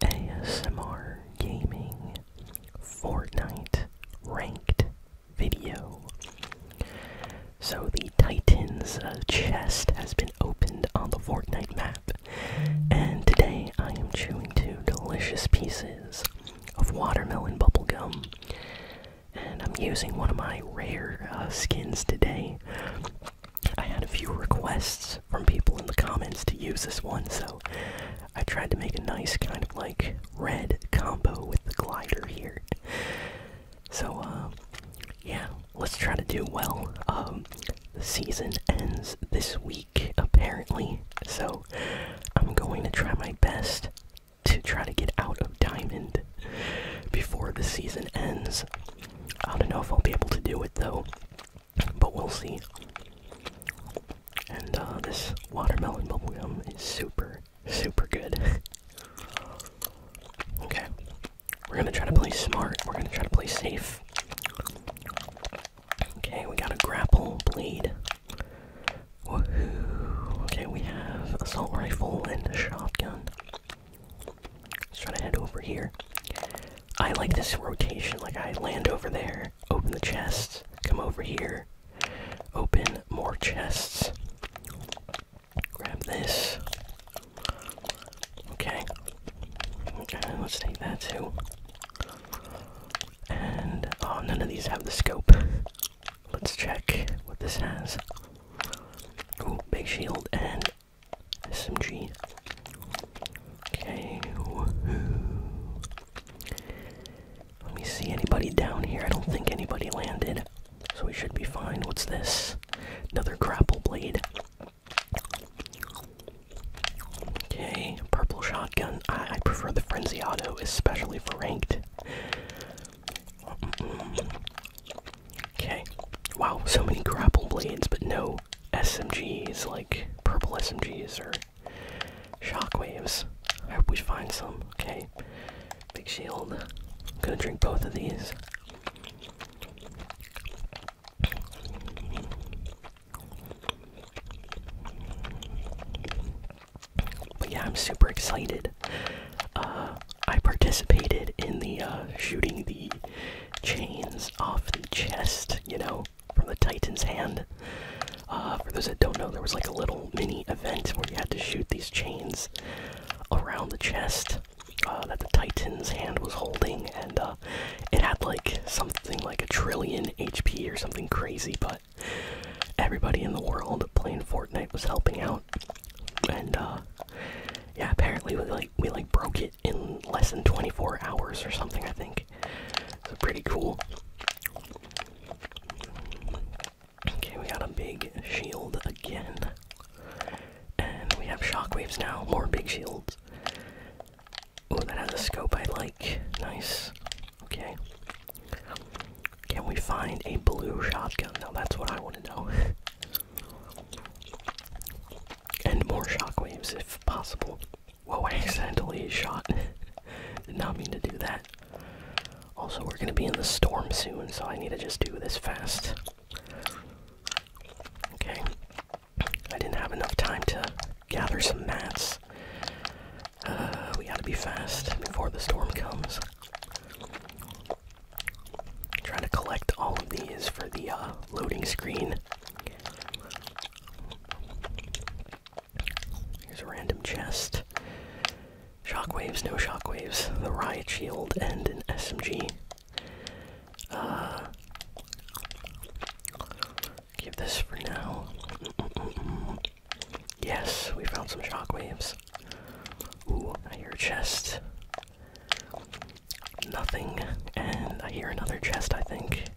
ASMR Gaming Fortnite Ranked Video. So, the Titan's uh, chest has been opened on the Fortnite map, and today I am chewing two delicious pieces of watermelon bubblegum. And I'm using one of my rare uh, skins today. I had a few requests from people in the comments to use this one, so I tried to make a nice kind of like red combo with the glider here. So, uh, yeah, let's try to do well. Um, the season ends this week, apparently, so I'm going to try my best to try to get out of Diamond before the season ends. I don't know if I'll be able to do it though. But we'll see. And uh, this watermelon bubble gum is super, super good. okay. We're gonna try to play smart. We're gonna try to play safe. Okay, we got a grapple blade. Woohoo. Okay, we have assault rifle and a shotgun. Let's try to head over here. I like this rotation. Like I land over there, open the chests, come over here, open more chests. Grab this. Okay. Okay, let's take that too. And oh, none of these have the scope. Let's check what this has. Ooh, big shield and SMG. Okay. Let me see anybody down here. I don't think anybody landed, so we should be fine. What's this? Another grapple blade. Okay, purple shotgun. I, prefer the frenzy auto, especially for ranked. Okay. Wow, so many grapple blades, but no know, SMGs, like purple SMGs or shockwaves. I hope we find some. Okay. Big shield. gonna drink both of these. But yeah, I'm super excited. Uh, I participated in the uh, shooting the chains off the chest, you know, from the Titan's hand. Uh, for those that don't know, there was like a little mini event where you had to shoot these chains around the chest uh, that the Titan's hand was holding, and uh, it had like something like a trillion HP or something crazy, but everybody in the world playing Fortnite was helping out. And yeah, apparently we like we like broke it in less than 24 hours or something, I think. It's So pretty cool. Okay, we got a big shield again. And we have shockwaves now. More big shields. Oh, that has a scope I like. Nice. Okay. Can we find a blue shotgun? Now that's what I want to know. and more shockwaves if possible. Whoa, I accidentally shot. Did not mean to do that. Also, we're gonna be in the storm soon, so I need to just do this fast. Okay. I didn't have enough time to gather some mats. Uh, we gotta be fast before the storm comes. Trying to collect all of these for the uh, loading screen. Here's a random chest. Shockwaves, no shockwaves. The riot shield and an SMG. Uh, give this for now. Yes, we found some shockwaves. Ooh, I hear a chest. Nothing, and I hear another chest, I think.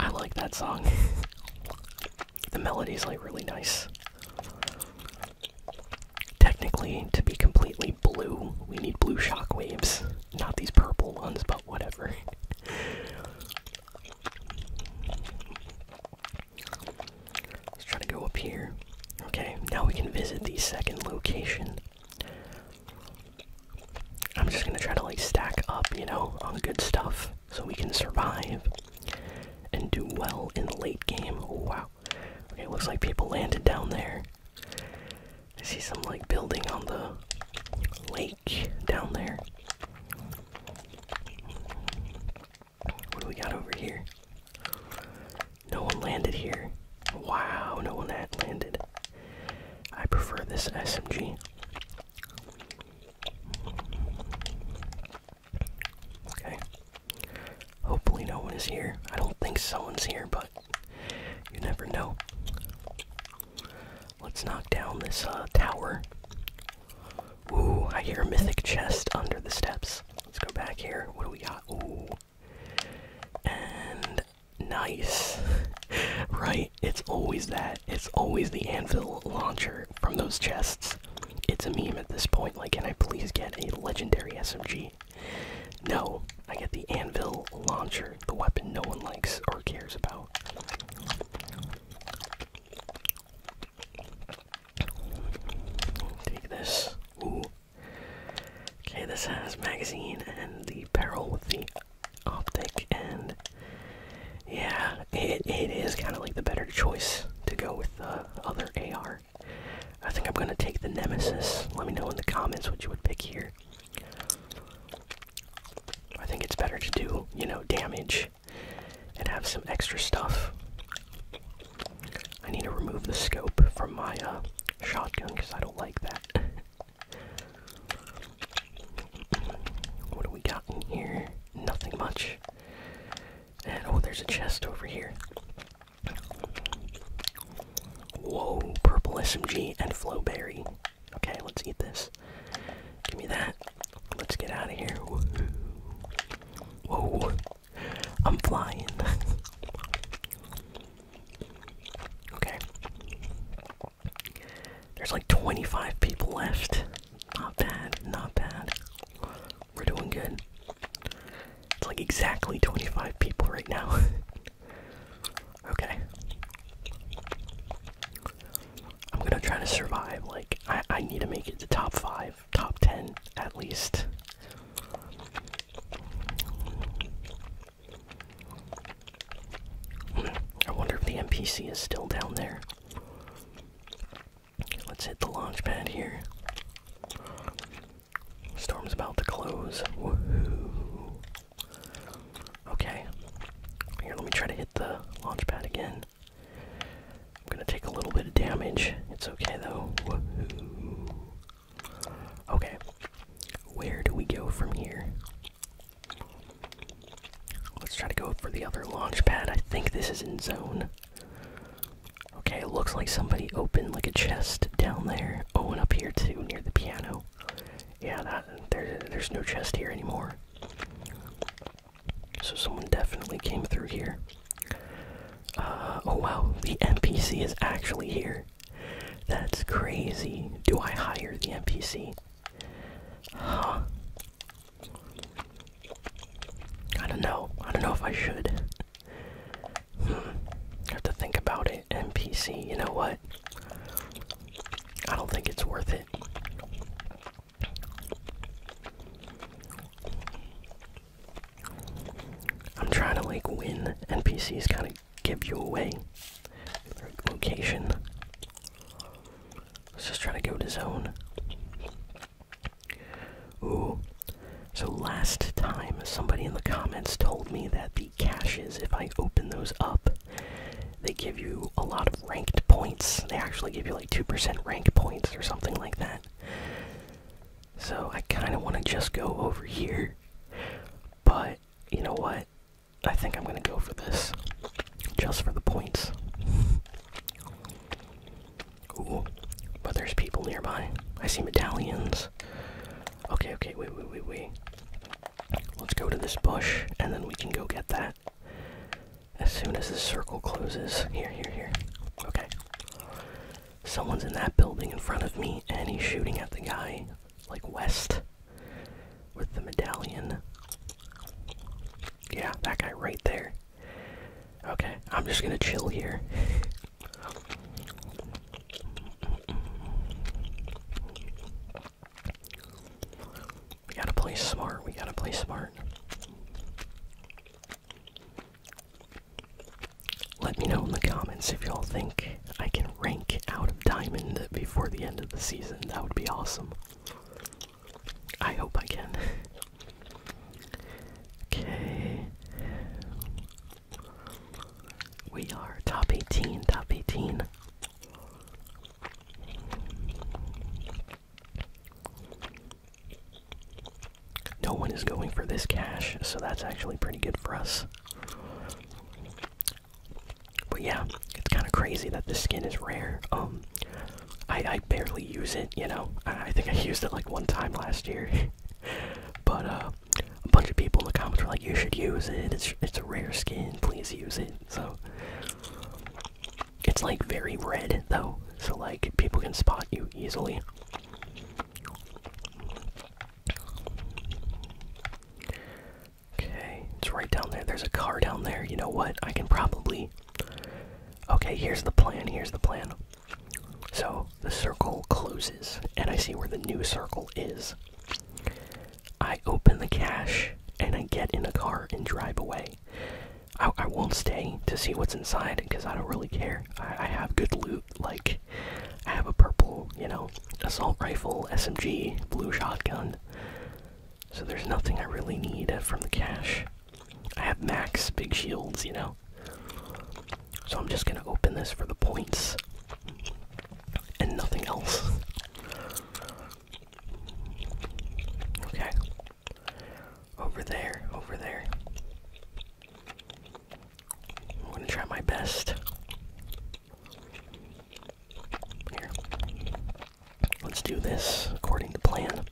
I like that song. the melody's like really nice. Technically, to be completely blue, we need blue shockwaves, not these purple ones, but whatever. Let's try to go up here. Okay, now we can visit the second location. I'm just gonna try to like stack up, you know, on good stuff so we can survive and do well in the late game. wow. it looks like people landed down there. I see some like building on the lake down there. What do we got over here? No one landed here. Wow, no one had landed. I prefer this SMG. Okay. Hopefully, no one is here. I don't think someone's here, but you never know. Let's knock down this uh, tower. Ooh, I hear a mythic chest under the steps. Let's go back here. What do we got? Ooh. And nice. right? It's always that. It's always the anvil launcher from those chests. It's a meme at this point. Like, can I please get a legendary SMG? No, I get the anvil launcher, the weapon no one likes or cares about. Take this. Okay, this has magazine and the barrel with the optic and yeah it, it is kind of like the better choice to go with the other ar i think i'm gonna take the nemesis let me know in the comments what you would pick here i think it's better to do you know damage and have some extra stuff i need to remove the scope from my uh, shotgun because i don't like that What do we got in here? Nothing much. And oh, there's a chest over here. Whoa, purple SMG and flowberry. Okay, let's eat this. Give me that. Let's get out of here. Whoa, I'm flying. okay. There's like 25 people left. Not bad, not bad. We're doing good. It's like exactly 25 people right now. okay. I'm gonna try to survive. Like, I, I need to make it to top 5, top 10 at least. I wonder if the NPC is still down there. Let's hit the launch pad here. Storm's about to close. Okay. Here, let me try to hit the launch pad again. I'm gonna take a little bit of damage. It's okay though. Okay. Where do we go from here? Let's try to go for the other launch pad. I think this is in zone. Okay, looks like somebody opened like a chest down there. Oh, and up here too, near the piano. Yeah, that there, there's no chest here anymore. So someone definitely came through here. Uh, oh wow, the NPC is actually here. That's crazy. Do I hire the NPC? Huh. I don't know. I don't know if I should. Hmm. have to think about it. NPC, you know what? I don't think it's worth it. I'm trying to like win. NPCs, kind of give you away. Location. Let's just trying to go to zone. Ooh. So last time, somebody in the comments told me that the caches, if I open those up, they give you a lot of ranked points. They actually give you like 2% rank points or something like that. So I kind of want to just go over here. But, you know what? I think I'm gonna go for this. Just for the points. but there's people nearby. I see medallions. Okay, okay, wait, wait, wait, wait. Let's go to this bush and then we can go get that. As soon as the circle closes. Here, here, here. Okay. Someone's in that building in front of me and he's shooting at the guy, like west with the medallion. Yeah, that guy right there. Okay, I'm just gonna chill here. we gotta play smart, we gotta play smart. Let me know in the comments if y'all think I can rank out of diamond before the end of the season. That would be awesome. I hope I can. okay. We are top 18, top 18. No one is going for this cash, so that's actually pretty good for us. But yeah, it's kind of crazy that this skin is rare. Um, I barely use it. You know, I, think I used it like one time last year. but uh, a bunch of people in the comments were like, "You should use it. It's it's a rare skin. Please use it." So it's like very red though, so like people can spot you easily. Okay, it's right down there. There's a car down there. You know what? I can probably. Okay, here's the plan. Here's the plan. So the circle closes, and I see where the new circle is. I open the cache, and I get in a car and drive away. I, I won't stay to see what's inside because I don't really care. I, I have good loot. Like, I have a purple, you know, assault rifle, SMG, blue shotgun. So there's nothing I really need from the cache. I have max big shields, you know. So I'm just gonna open this for the points and nothing else. Okay. Over there, over there. I'm gonna try my best here. Let's do this according to plan.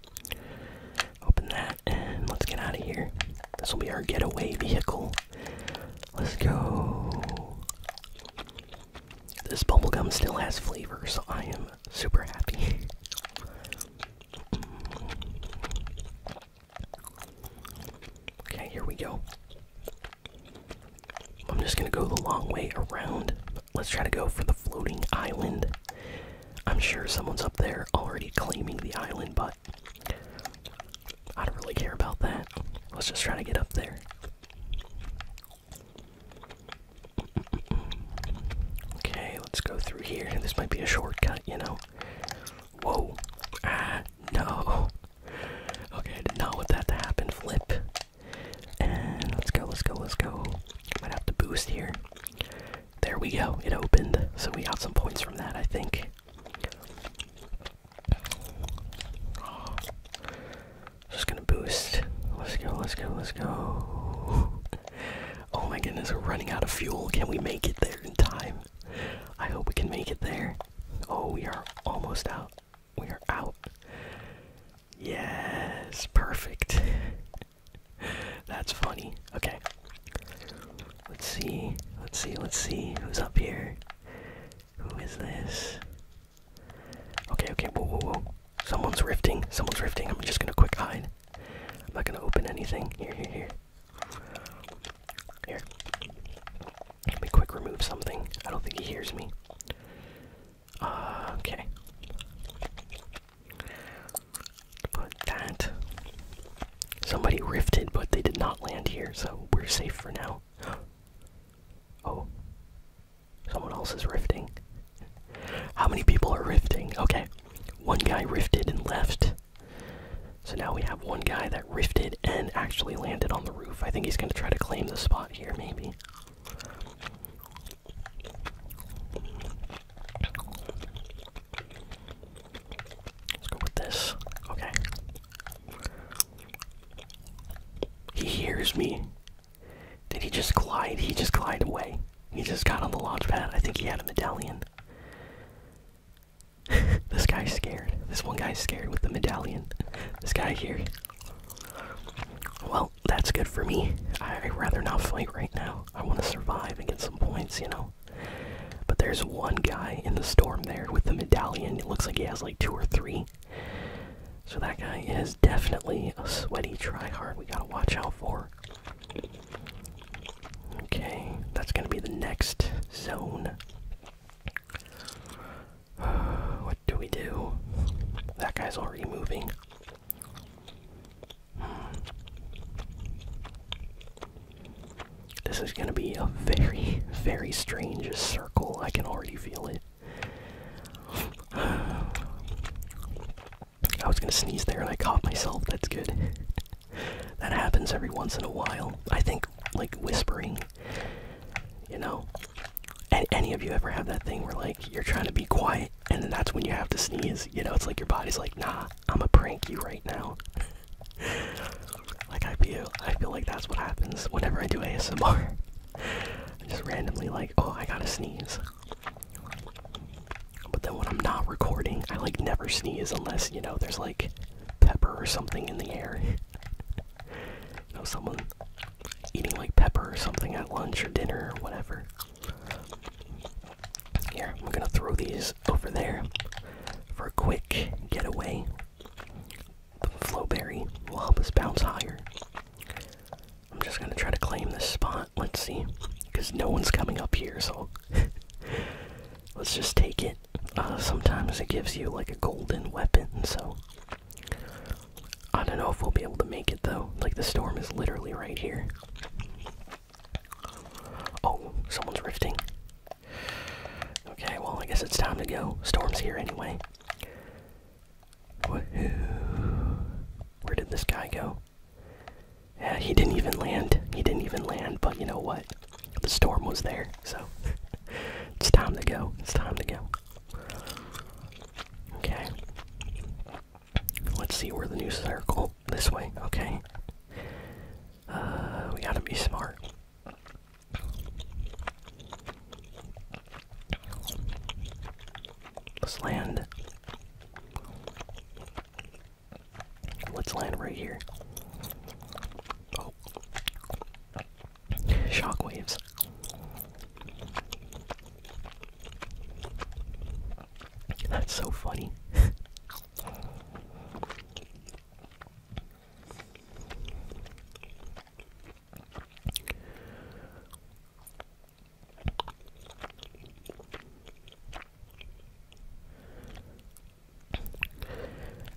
Open that and let's get out of here. This will be our getaway vehicle. Let's go. This bubblegum still has flavor, so I am super happy. Okay, here we go. I'm just gonna go the long way around. Let's try to go for the floating island. I'm sure someone's up there already claiming the island, but I don't really care about that. Let's just try to get up there. Okay, let's go through here. This might be a shortcut, you know. Whoa. Ah, no okay, I did not want that to happen. Flip. And let's go, let's go, let's go. I Might have to boost here. There we go. It opened. So we got some points from that, I think. Just gonna boost. Let's go, let's go, let's go. Oh my goodness, we're running out of fuel. Can we make it there in time? I hope we can make it there. Oh, we are almost out we are out. Yes, perfect. That's funny. Okay. Let's see. Let's see. Let's see who's up here. Who is this? Okay, okay. Whoa, whoa, whoa. Someone's riffing. Someone's riffing. I'm just gonna quick hide. I'm not gonna open anything. Here, here, here. Here. Let me quick remove something. I don't think he hears me. Uh, okay. Put that. Somebody rifted, but they did not land here, so we're safe for now. Oh. Someone else is rifting. How many people are rifting? Okay. One guy rifted and left. So now we have one guy that rifted and actually landed on the roof. I think he's going to try to claim the spot here, maybe. Let's go with this. Okay. He hears me. Did he just glide? He just glided away. He just got on the launch pad. I think he had a medallion. this guy's scared. This one guy's scared with the medallion. This guy here. Well, that's good for me. I'd rather not fight right now. I want to survive and get some points, you know? But there's one guy in the storm there with the medallion. It looks like he has like two or three. So that guy is definitely a sweaty tryhard we gotta watch out for. Okay, that's gonna be the next zone. what do we do? That guy's already moving. This is gonna be a very, very strange circle. I can already feel it. I was gonna sneeze there and I caught myself. That's good. that happens every once in a while. I think, like, whispering you know? And any of you ever have that thing where like you're trying to be quiet and then that's when you have to sneeze, you know, it's like your body's like, nah, i am a pranky right now. like I feel I feel like that's what happens whenever I do ASMR. just randomly like, oh I gotta sneeze. But then when I'm not recording, I like never sneeze unless, you know, there's like pepper or something in the air. you know, someone eating like pepper or something at lunch or dinner or whatever. Here, I'm gonna throw these over there for a quick getaway. The flowberry will help us bounce higher. I'm just gonna try to claim this spot. Let's see. Because no one's coming up here, so let's just take it. Uh, sometimes it gives you like a golden weapon, so. I don't know if we'll be able to make it though. Like, the storm is literally right here. Oh, someone's rifting. Okay, well, I guess it's time to go. Storm's here anyway. Where did this guy go? Yeah, he didn't even land. He didn't even land, but you know what? the storm was there, so it's time to go. It's time to go. Okay. Let's see where the new circle this way, okay. Uh, we gotta be smart. Let's land. Let's land right here. Oh. Shockwaves. That's so funny.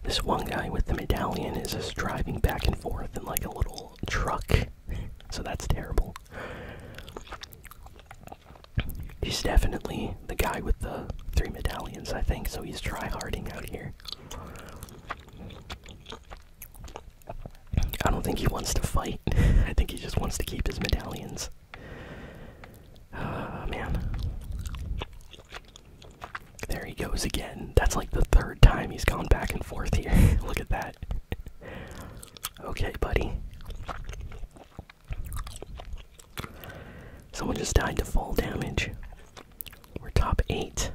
This one guy with the medallion is just driving back and forth in like a little truck. so that's terrible. He's definitely the guy with the three medallions, I think, so he's tryharding out here. I don't think he wants to fight. I think he just wants to keep his medallions. Ah, man. There he goes again. That's like the third time he's gone back and forth here. Look at that. okay, buddy. Someone just died to fall damage. We're top eight.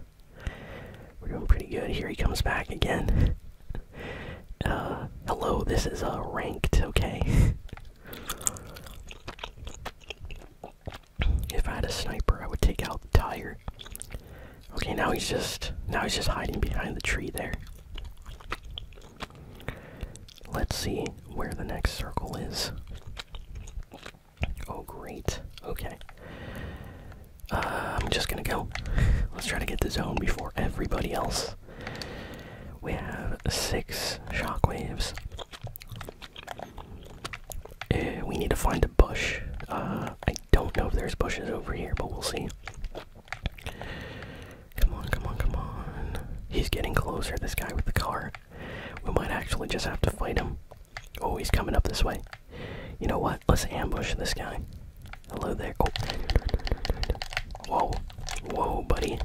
We're doing pretty good. Here he comes back again. Uh, hello, this is uh, ranked, okay? If I had a sniper, I would take out the tire. Okay, now he's just now he's just hiding behind the tree there. Let's see where the next circle is. Oh great. Okay. Uh, I'm just gonna go. Let's try to get the zone before everybody else. We have six shockwaves. Eh, we need to find a bush. Uh, I don't know if there's bushes over here, but we'll see. Come on, come on, come on. He's getting closer, this guy with the car. We might actually just have to fight him. Oh, he's coming up this way. You know what? Let's ambush this guy. Hello there. Oh. Whoa. Whoa, buddy.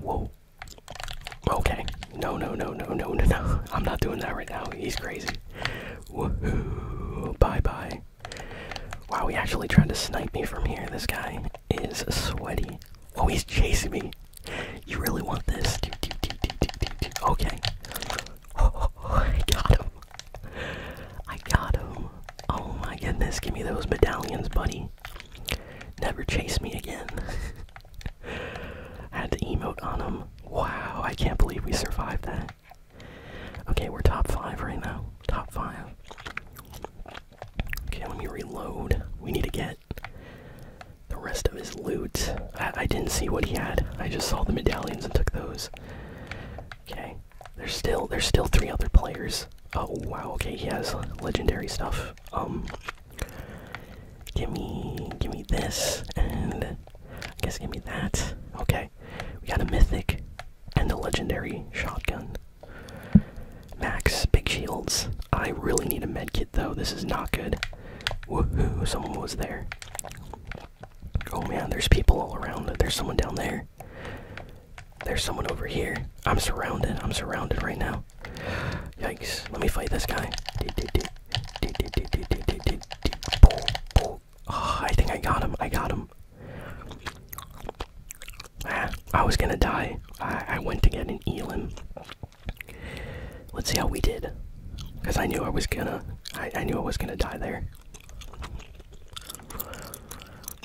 Whoa. Okay. No, no, no, no, no, no, no. I'm not doing that right now. He's crazy. Woohoo. Bye bye. Wow, he actually tried to snipe me from here. This guy is sweaty. Oh, he's chasing me. You really want this? Okay. Oh, I got him. I got him. Oh my goodness, give me those medallions, buddy. Never chase me again. I had to emote on him. Wow, I can't believe we survived that. Okay, we're top five right now. Top five. Okay, let me reload. We need to get the rest of his loot. I didn't see what he had. I just saw the medallions and took those. Okay. There's still there's still three other players. Oh wow, okay, he has legendary stuff. Um gimme gimme this and I guess gimme that. Okay. We got a mythic and a legendary shotgun. Max, big shields. I really need a med kit though, this is not good. Woohoo, someone was there. Oh man, there's people all around. There's someone down there. There's someone over here. I'm surrounded. I'm surrounded right now. Yikes. Let me fight this guy. I think I got him. I got him. Ah, I was gonna die. I, went to get an Elan. Let's see how we did. Cause I knew I was gonna I knew I was gonna die there.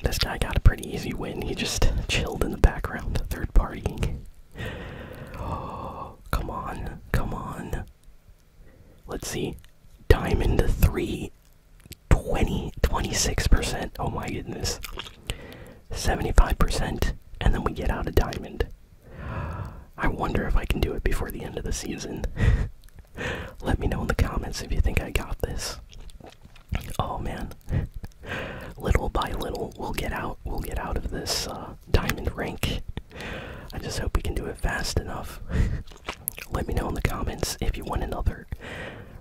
This guy got a pretty easy win. He just chilled in the background, third party. Oh, come on, come on. Let's see. Diamond 3. 20, 26%. Oh my goodness. 75%. And then we get out a diamond. I wonder if I can do it before the end of the season. Let me know in the comments if you think I got this. Oh man. little by little we'll get out we'll get out of this uh, diamond rank. I just hope we can do it fast enough. Let me know in the comments if you want another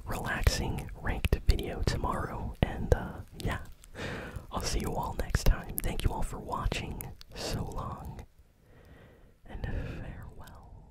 relaxing ranked video tomorrow and uh, yeah. I'll see you all next time. Thank you all for watching. So long and farewell.